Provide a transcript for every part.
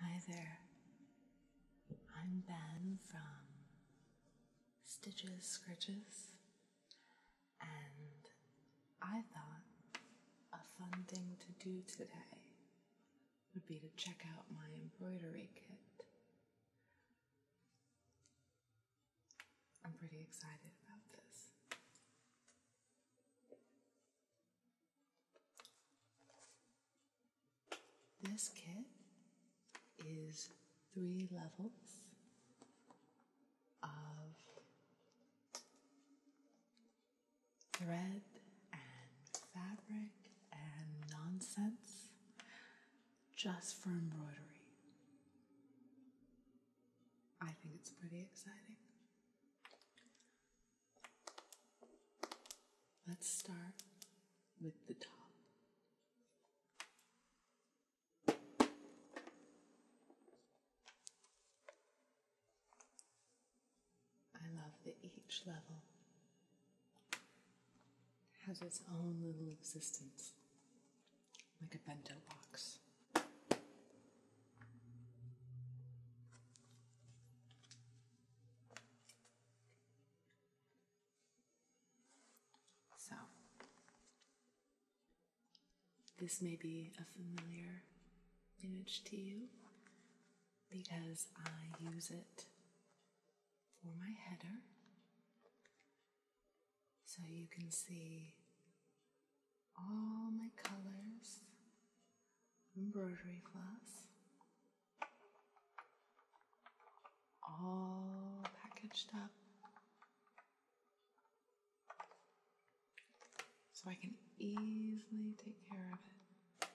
Hi there. I'm Ben from Stitches Scritches, and I thought a fun thing to do today would be to check out my embroidery kit. I'm pretty excited about this. This kit is three levels of thread and fabric and nonsense just for embroidery. I think it's pretty exciting. Let's start with the top. I love that each level has its own little existence, like a bento box. So, this may be a familiar image to you because I use it for my header. So you can see all my colors, embroidery floss, all packaged up so I can easily take care of it,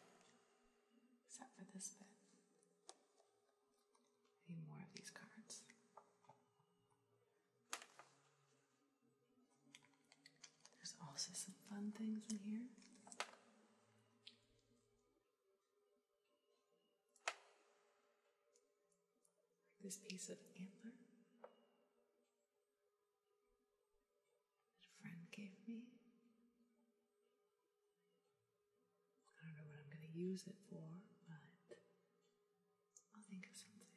except for this bit. I more of these cards. There's also some fun things in here. This piece of antler that a friend gave me. I don't know what I'm going to use it for, but I'll think of something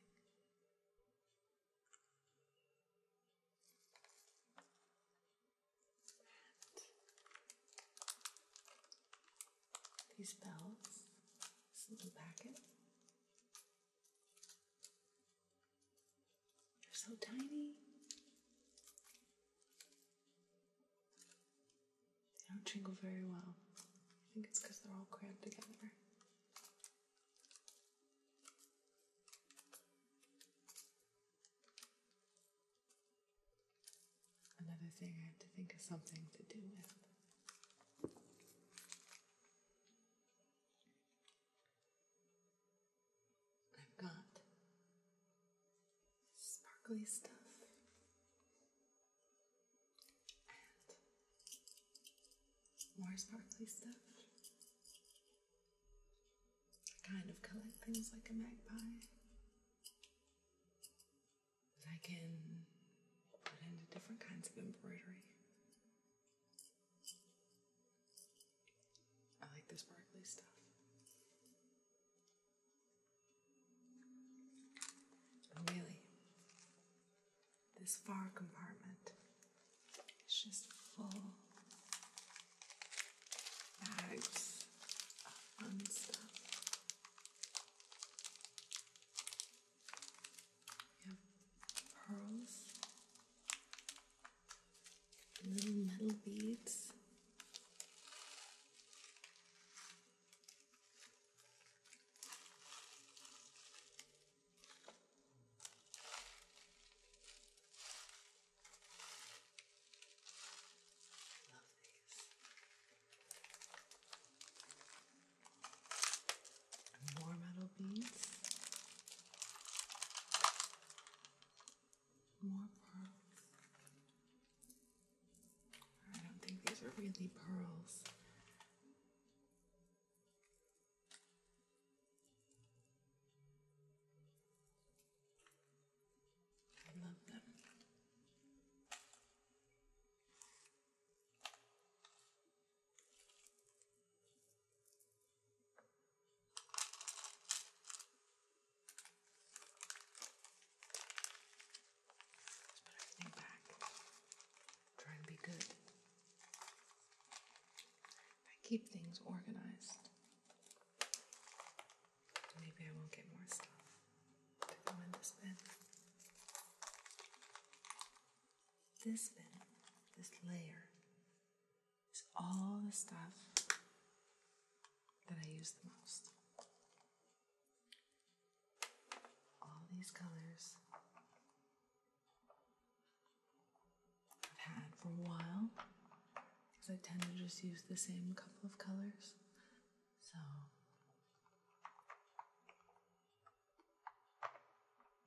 these bells, this little packet. They're so tiny. They don't jingle very well. I think it's because they're all crammed together. Another thing, I have to think of something to do with. I've got sparkly stuff and more sparkly stuff. I kind of collect things like a magpie I can put into different kinds of embroidery. I like this sparkly stuff. Oh, really, this far compartment is just full bags of fun stuff. We pearls, little metal beads. Love these. More metal beads. More pearls. I don't think these are really pearls. I love them let put everything back. Try to be good. I keep things organized. Maybe I won't get more stuff to go in this bin. This bin, this layer, is all the stuff that I use the most all these colors I've had for a while because I tend to just use the same couple of colors. So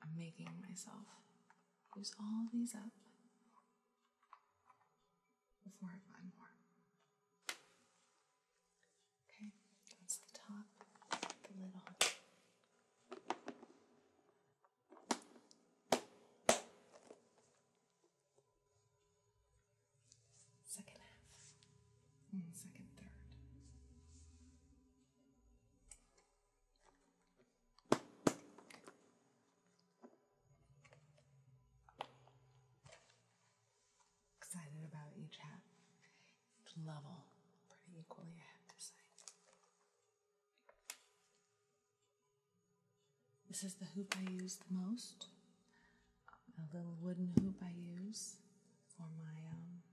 I'm making myself use all these up before I find more. Okay, that's the top, the lid on. Second half, hmm, second, third excited about each hat. It's level, pretty equally, I to say. This is the hoop I use the most. A little wooden hoop I use for my um,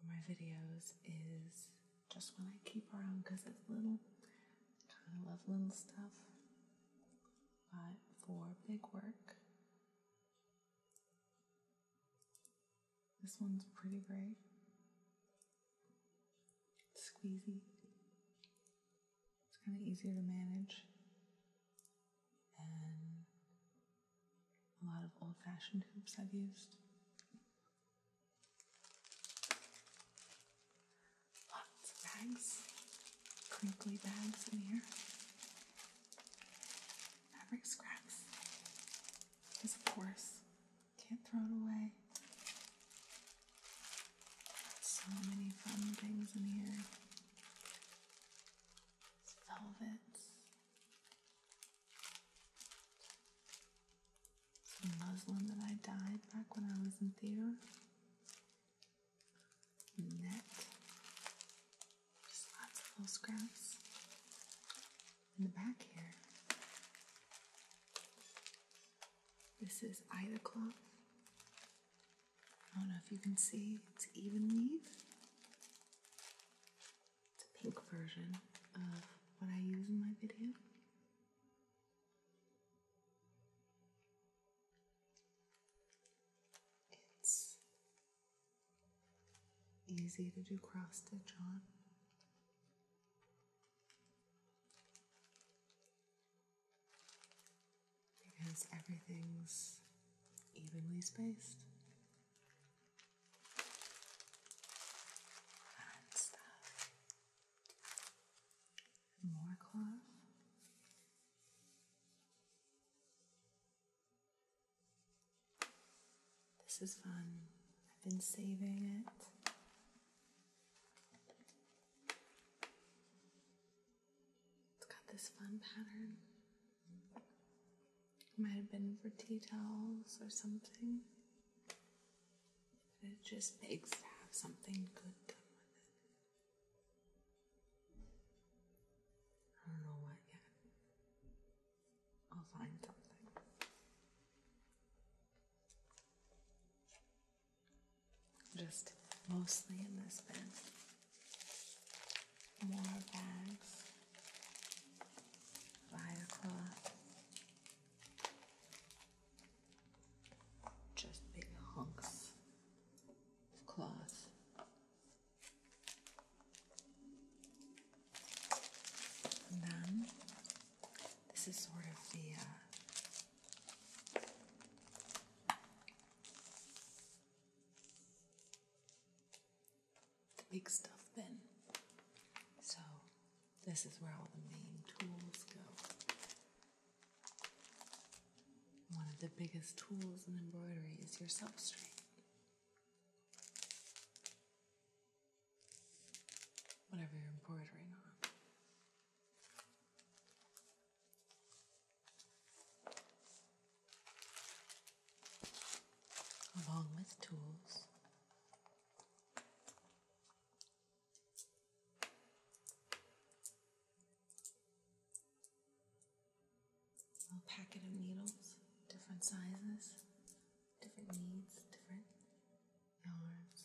for my videos is just one I keep around because it's little. Kind of love little stuff but for big work. This one's pretty great. It's squeezy. It's kind of easier to manage. And a lot of old fashioned hoops I've used. Lots of bags, crinkly bags in here. Fabric scraps, because of course, can't throw it away. So many fun things in here. Velvets the muslin that I dyed back when I was in theater. Net. Just lots of little scraps. In the back here, this is either cloth. I don't know if you can see, it's even weave. It's a pink version of what I use in my video. It's easy to do cross stitch on. Because everything's evenly spaced. And stuff more cloth. This is fun. I've been saving it. It's got this fun pattern. might have been for tea towels or something it just begs to have something good done with it. I don't know what yet. I'll find something. Just mostly in this bin. More bags. Via cloth just big hunks of cloth. And then this is sort of the uh, the big stuff Then, So this is where all the main tools go. One of the biggest tools in embroidery is your substrate. Whatever you're embroidering on. Along with tools a packet of needles, different sizes, different needs, different yarns.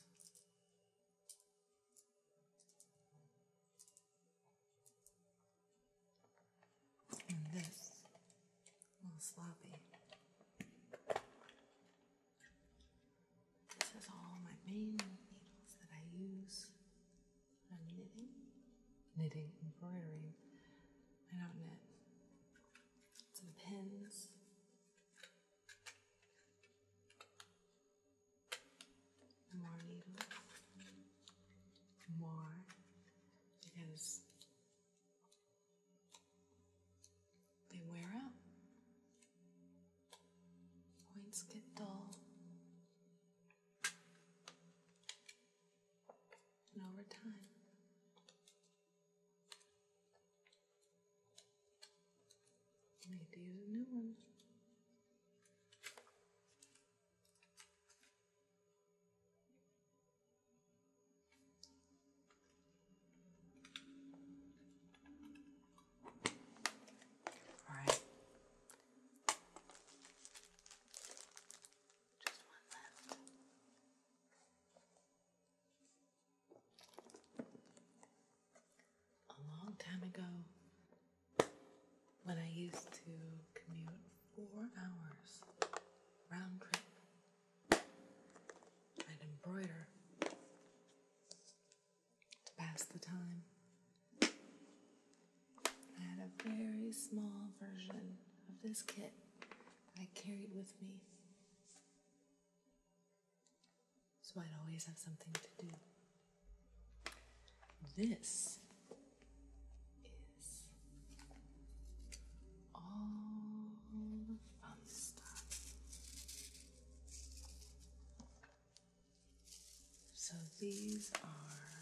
And this, a little sloppy. This is all my main needles that I use when knitting, knitting, embroidering. I don't knit. Some pins. More needles. More. Because they wear out. Points get dull. And over time, you need to use a new one. All right. Just one left. A long time ago, when I used to commute four hours round trip and embroider to pass the time. I had a very small version of this kit I carried with me. So I'd always have something to do. This is all the fun stuff. So these are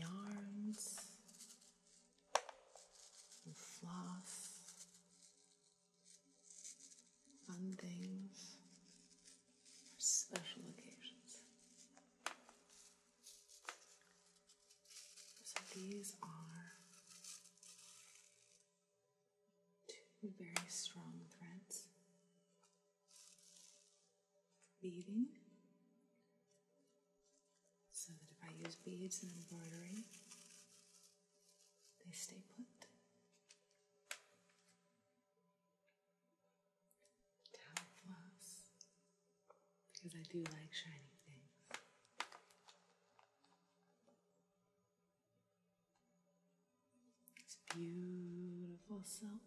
yarns and floss. Fun things for special occasions. So these are two very strong threads beading so that if I use beads in embroidery, they stay put. Top Because I do like shiny things. It's beautiful silk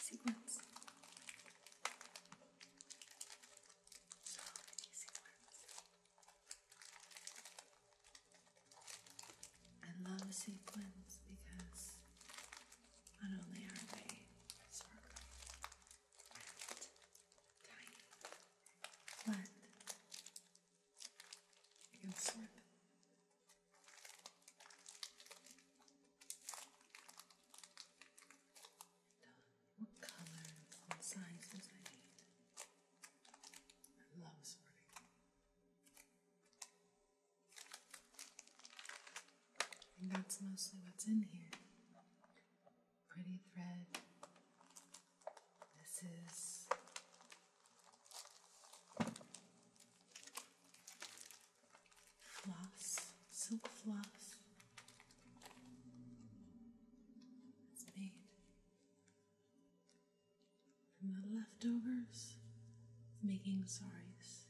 sequins. I love sequins because not only are they sparkly and tiny, but you can sort them what colors and sizes I need. I love sorting. And that's mostly what's in here. Pretty thread. This is floss, silk floss. It's made from the leftovers of making saris.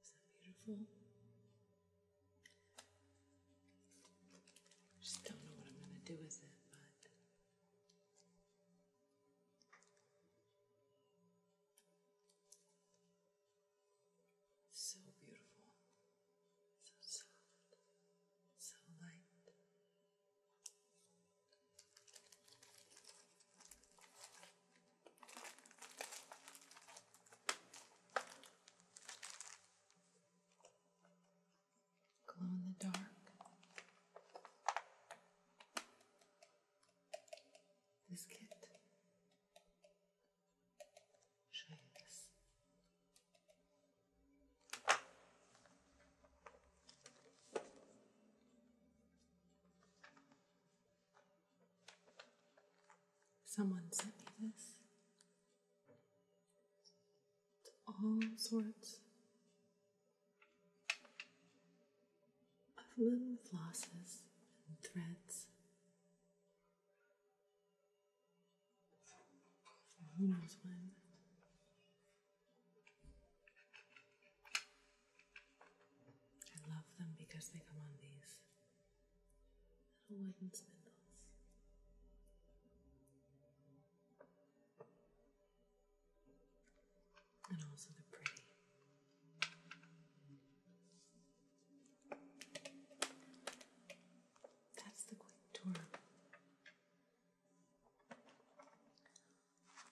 Is that beautiful? just don't know what I'm going to do with it, but so beautiful, so soft, so light. Glow in the dark this kit. Show you Someone sent me this. all sorts of little flosses and threads. Who knows when? I love them because they come on these little wooden spindles. And also the pretty. That's the quick tour.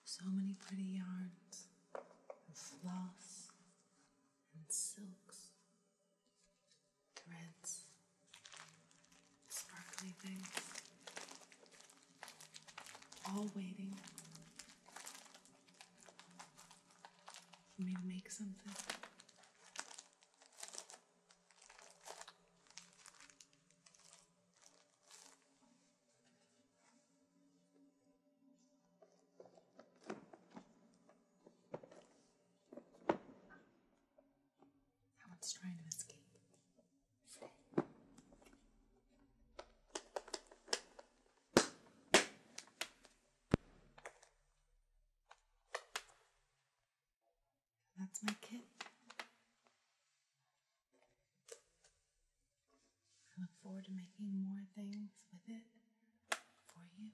So many pretty yarns, and floss, and silks, threads, sparkly things. All waiting for me to make something. That one's trying to escape. That's my kit. I look forward to making more things with it for you.